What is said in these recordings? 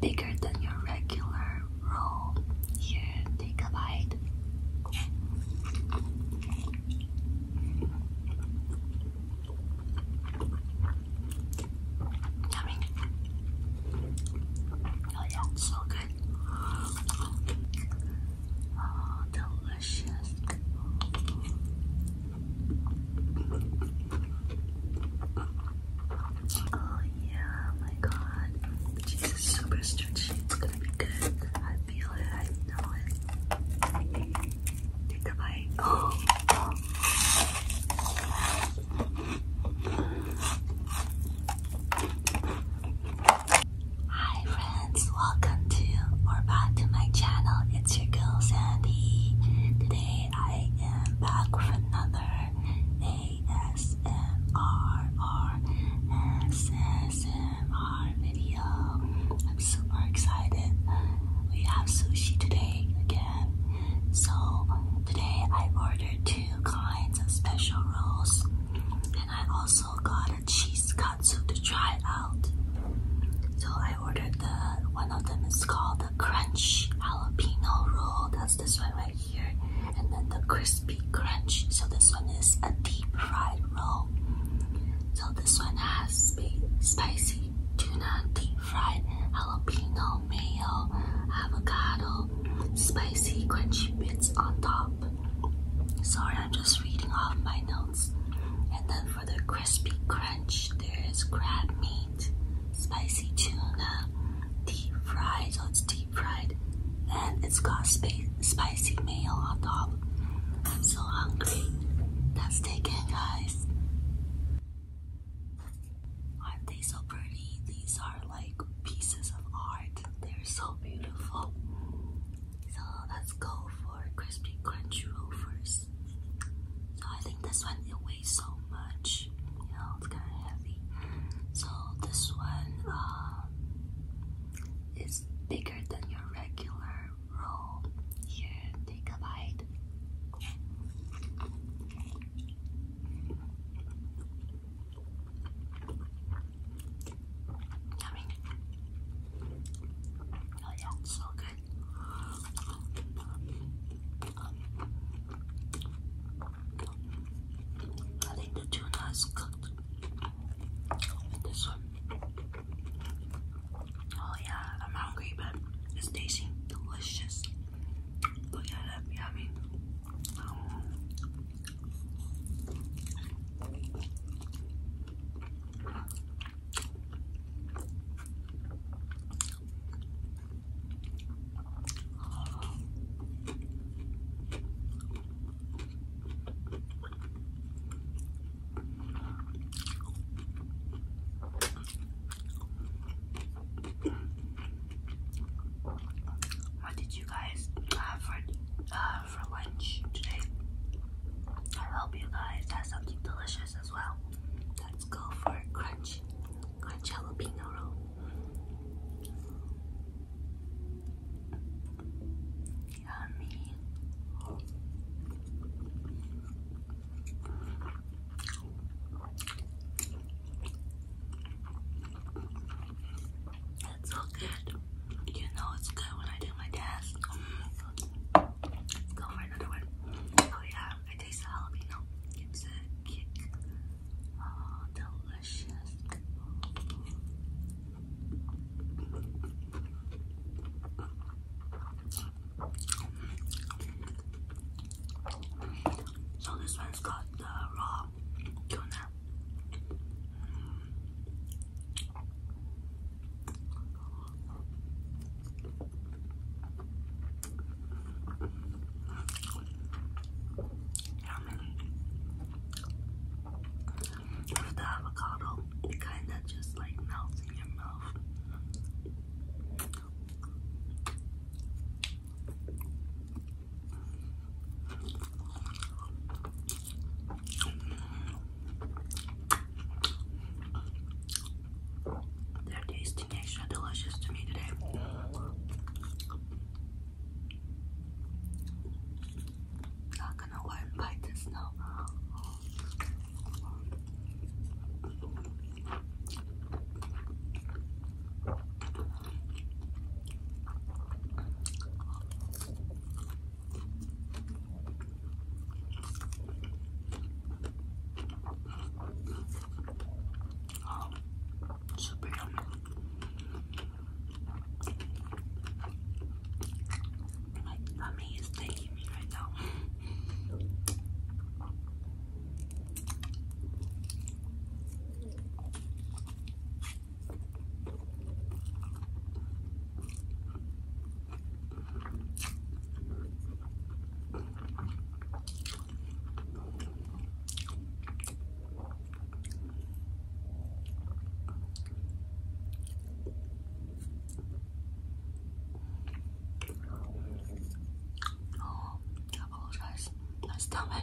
bigger than your regular roll. Here, take a bite. Oh yeah, so good. Oh, delicious. Oh yeah, oh my god. Jesus, super stretchy. It's gonna be good. I feel it. I know it. Take a bite. Hi friends, welcome to or back to my channel. It's your girl Sandy. Today I am back with another ASMR or video. I'm super excited. We have sushi today again. So today I ordered two kinds of special rolls and I also got a cheese cut katsu to try out. So I ordered the one of them is called the crunch jalapeno roll. That's this one right here. And then the crispy crunch. So this one is a deep fried roll. So this one has spicy tuna, deep fried jalapeno, mayo, avocado, spicy crunchy bits on top. Sorry, I'm just reading off my notes. And then for the crispy crunch, there is crab meat, spicy tuna, deep fried, so it's deep fried, and it's got spicy mayo on top. I'm so hungry. Let's take it, guys. Aren't they so pretty? These are like pieces of art. They're so beautiful. So let's go for crispy crunch roll first. So I think this one it weighs so much. You it's kind of heavy. So this one um, is bigger than your regular roll. Here, take a bite. I oh yeah, so good. I think the tuna is cooked this one. Oh yeah, I'm hungry, but it's tasting delicious. Look at it, yummy. What did you guys have for uh, uh, for lunch today. I hope you guys had something delicious as well. Let's go for a crunch, crunch jalapeno Yummy. It's so good. You know it's good when I do my test. Let's go for another one. Oh yeah, I taste the jalapeno. It's a kick. Oh, delicious. So this one's got the raw tuna. Yummy. With the avocado, it kind of just like melts in your mouth. They're tasting extra delicious to me today. Not gonna go and bite this now. Um, super yummy. My tummy is taking me right now. Oh, I apologize. My stomach.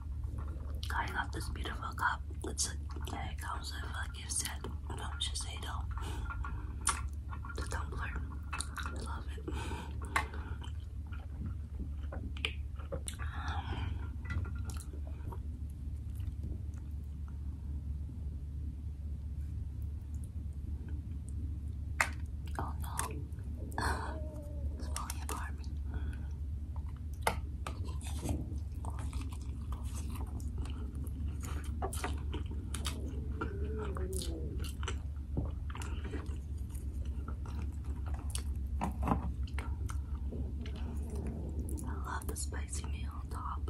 I love this beautiful cup. It's a, it gift set. No, I should say no. The tumbler. love it. Um, oh no. I love the spicy meal on top.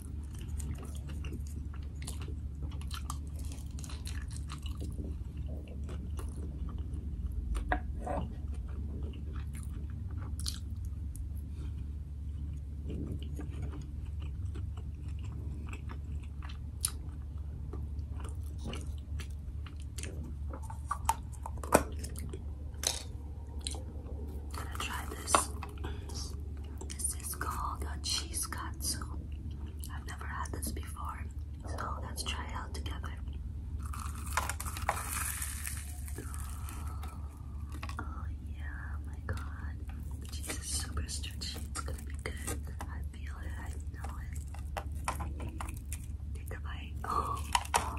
I'm gonna try this this is called a cheese katsu. I've never had this before, so let's try it out together. Oh yeah, my god. cheese is super stretchy. It's gonna be good. I feel it. I know it. Take a bite. Oh.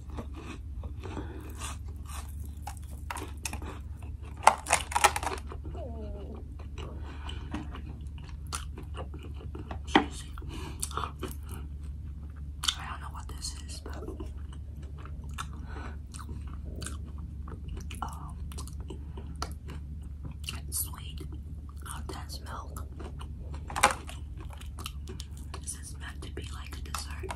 I don't know what this is, but um, sweet condensed milk. This is meant to be like a dessert.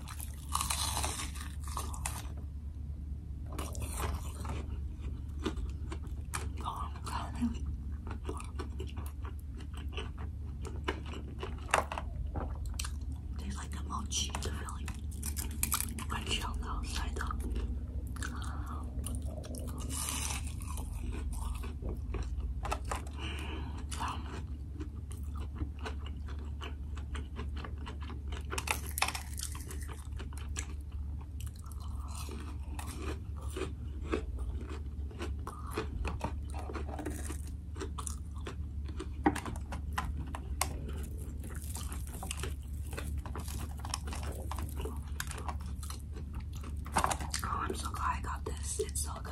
Tastes like a mochi, the filling. Crunchy on the outside though. Mm, Oh, I'm so glad I got this. It's so good.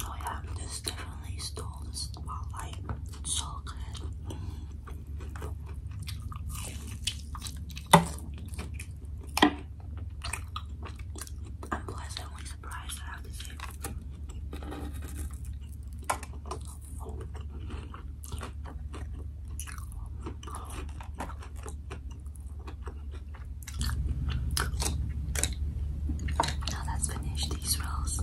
Oh yeah, this definitely stole the spotlight. so good. I'm pleasantly surprised, I have to say. these rolls.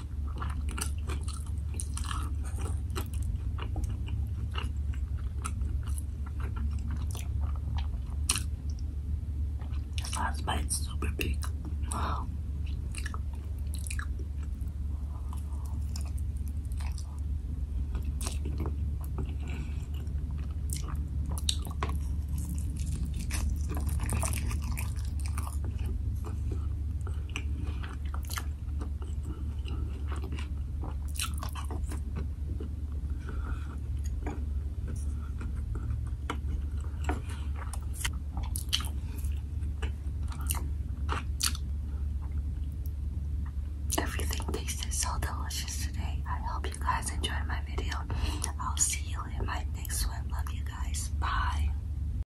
The last bite's super big. Everything tasted so delicious today. I hope you guys enjoyed my video. I'll see you in my next one. Love you guys. Bye.